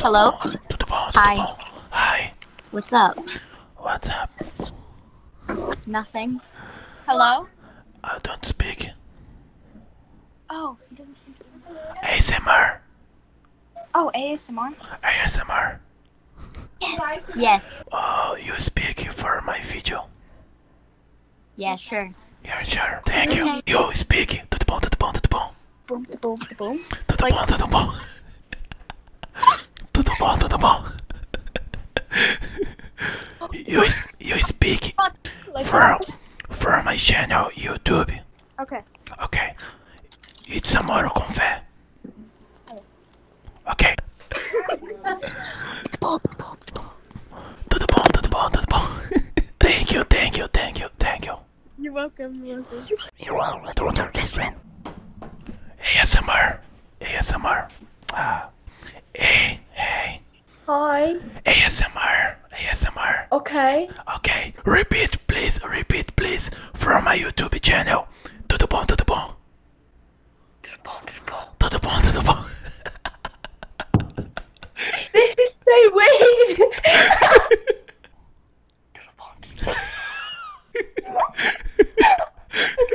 Hello? Hi. Hi. What's up? What's up? Nothing. Hello? I don't speak. Oh, he doesn't speak ASMR. Oh, ASMR? ASMR. Yes. Yes. Oh, you speak for my video. Yeah, sure. Yeah, sure. Thank you. You speak. Tudo bom, tudo bom, tudo bom. tudo bom, tudo bom. Tudo bom, tudo bom. You you speak from from my channel YouTube. Okay. Okay. It's a moral confé. Okay. Tudo bom, tudo bom, tudo bom. thank you, thank you, thank you, thank you. You're welcome, you're welcome. You're welcome, restaurant. ASMR. ASMR. Ah. Hey, hey. Hi. ASMR. ASMR. Okay. Okay. Repeat, please. Repeat, please. From my YouTube channel. Tudo bom, tudo bom. Tudo bom, tudo bom. Tudo bom, tudo bom. They wave.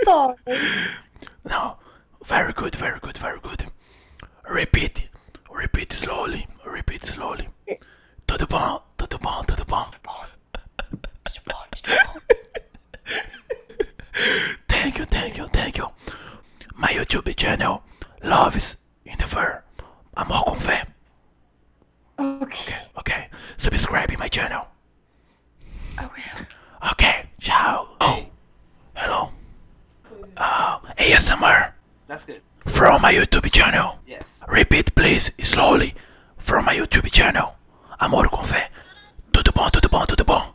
Sorry. No, very good, very good, very good. Repeat, repeat slowly, repeat slowly. To the ball, to the ball, to the ball. thank you, thank you, thank you. My YouTube channel loves in the fur. I'm all kung okay. okay, okay. Subscribe in my channel. Okay. Okay, ciao. Oh, hello. Oh, uh, ASMR. That's good. From my YouTube channel. Yes. Repeat, please, slowly. From my YouTube channel. Amor com fé. Tudo bom, tudo bom, tudo bom.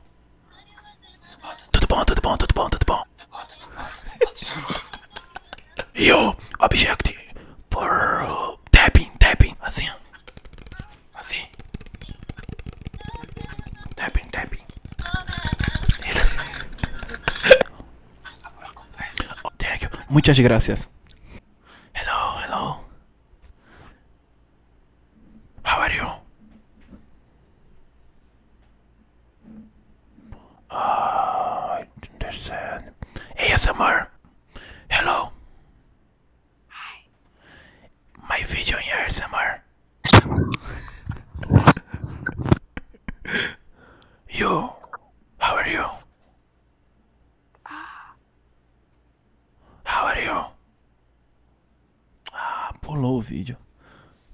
Tudo bom, tudo bom, tudo bom, tudo bom. You object por tapping, tapping, assim. Assim. Tapping, tapping. Isso. Thank you. Muchas gracias. Hello, hello. How are you? Ah, uh, I understand. ASMR. Hello. Hi. My video in ASMR. you. How are you? Ah. How are you? Ah, pulou o vídeo.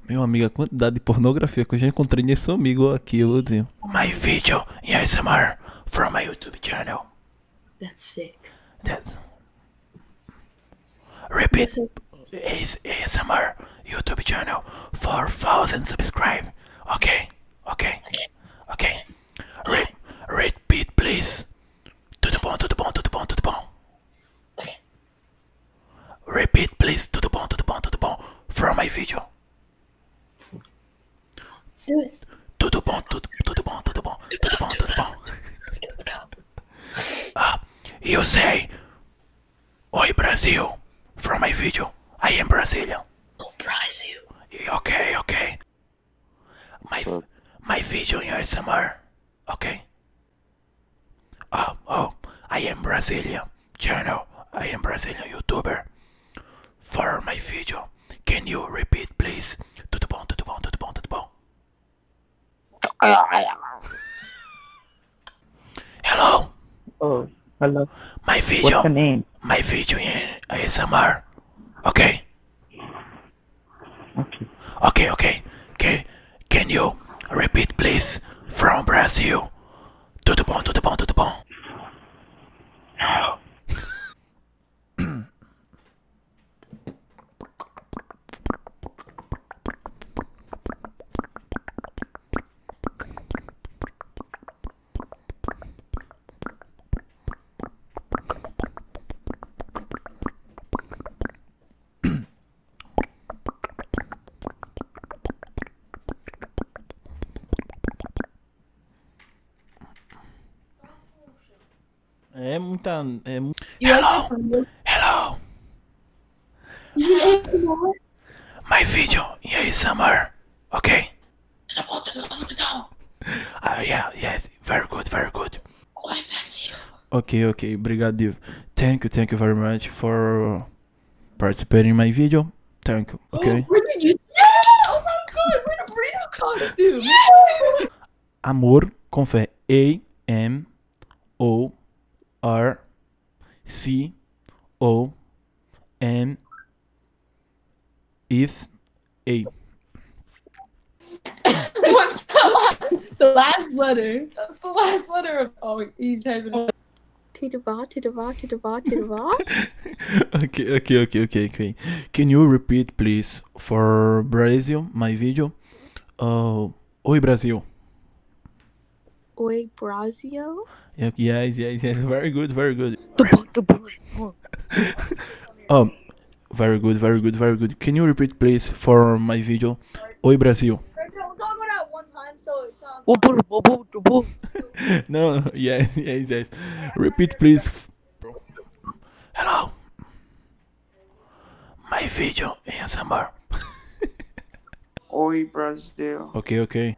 Meu amigo, a quantidade de pornografia que eu já encontrei nesse amigo aqui, eu digo. My video in ASMR from my YouTube channel. That's sick. That... Repeat. Is ASMR YouTube channel 4000 subscribe. Okay. Okay. Okay. Re repeat please. Tudo bom, tudo bom, tudo bom, tudo bom. Okay. Repeat, please. Tudo bom, tudo bom, tudo bom. From my video. Do it. Tudo bom, tudo, tudo bom, tudo bom, tudo bom, tudo bom. Uh, ah, you say, Oi Brazil, from my video. I am Brazilian. Oh, Brazil. Okay, okay. My, my video in ASMR. Okay. Oh, oh, I am Brazilian channel. I am Brazilian YouTuber. For my video, can you repeat, please? To the bone, to the bone, to the bone, to hello. Oh, hello. My video. What's your name? My video in ASMR. Okay. Okay. Okay. Okay. Can you repeat, please, from Brazil? Tudo bom, tudo É muita. É... Hello! Hello! My video here is summer. Okay? Uh, yeah, yes. Very good, very good. Oh, Okay, okay, obrigado, Div. Thank you, thank you very much for participating in my video. Thank you. Oh, okay. Oh, my God! we a burrito costume. Yeah! Amor com fé. A M O if A. What's the last letter? What's the last letter of? Oh, he's having. Tidava, Tidava, Tidava, Tidava. Okay, okay, okay, okay, okay. Can you repeat, please, for Brazil, my video? Oh, Oi, Brasil. Oi, Brasil. Yep, yes, yes, yes. Very good, very good. um, very good, very good, very good. Can you repeat, please, for my video? Oi, Brasil. no, no, yeah, yeah, yes. Repeat, please. Hello. My video is ASMR. Oi, Brazil. Okay, okay.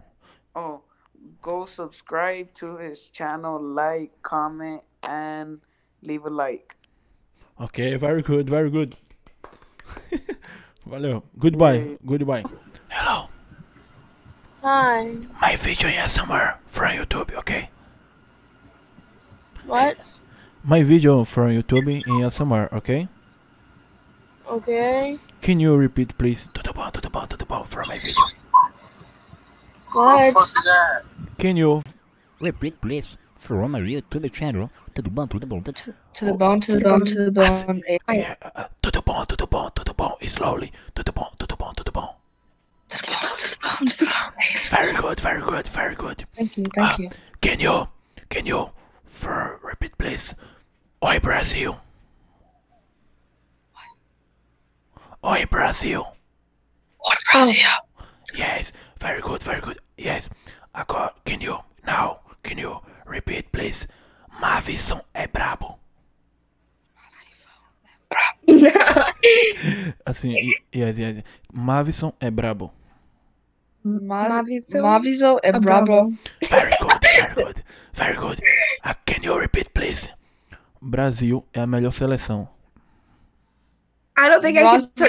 Oh, go subscribe to his channel, like, comment, and leave a like. Okay, very good, very good. Hello, Goodbye. Goodbye. Hello. Hi. My video here somewhere from YouTube, okay? What? My video from YouTube in here somewhere, okay? Okay. Can you repeat, please? To the bone, to the bone, to the bone from my video. What? Can you Repeat, please, from my YouTube channel to the bone, to the bone, to, to the bone, to the bone, to the bone. Ah, ah, ah, to the bone, to the bone, to the bone. Slowly, to the bone, to the bone, to the bone. To the bone, to the bone, to the bone. Very good, very good, very good. Thank you, thank you. Can you, can you, for repeat, please? Oi, Brazil. Oi, Brazil. Oi, Brazil. Yes, very good, very good. Yes. Agora, can you now? Can you repeat, please? Mavison é brabo. Assim, Mavison é brabo. assim, yes, yes. Mavison é, é brabo. Mavison, é brabo. Very good, very good, very good. Ah, can you repeat, please? Brasil é a melhor seleção. I don't think Brazil I é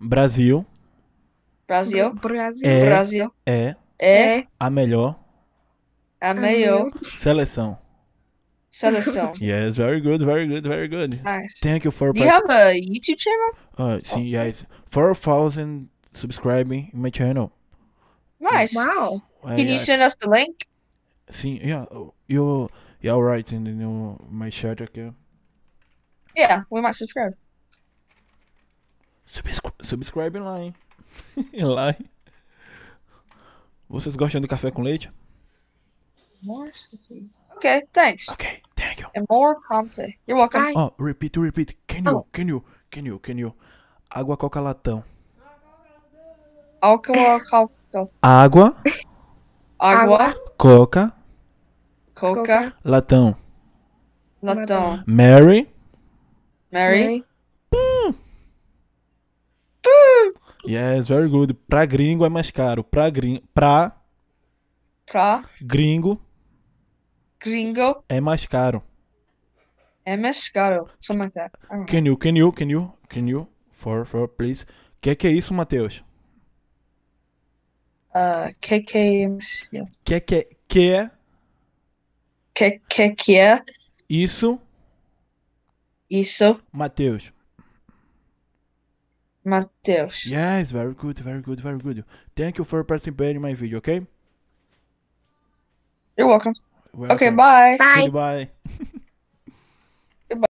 Brasil. Brasil. É. É. é, é, a melhor. A melhor. Seleção. Seleção. Yes, very good, very good, very good. Nice. Thank you for. Do you have a YouTube channel? Uh, sim, yes. 4,000 subscribing in my channel. Nice. Wow. Can you send us the link? Sim, yeah. Oh, you, yeah, right. In the, you my chat aqui sim, we might subscribe. Subscri subscribe lá, hein? lá, hein? Vocês gostam de café com leite? More coffee. Okay, thanks. ok, thank you. And é more coffee. You're welcome. Bye. Oh, oh, repeat, repeat. Can you, oh. can you, can you, can you? Água coca latão. Água coca Água. Água. Coca. Coca. Latão. Latão. Mary. Mary. Mary. Pum. Pum. Yes, very good. Pra gringo é mais caro. Pra gringo. Pra. Pra. Gringo. Gringo. É mais caro. É mais caro. Só ah. Can you, can you, can you, can you, for, for, please. Que é que é isso, Matheus? Uh, ah, QQMC. É que que que é? que que que é? Isso. Isso. Matheus. Matheus. Yes, very good, very good, very good. Thank you for participating in my video, okay? You're welcome. welcome. Okay, bye. Bye. Goodbye.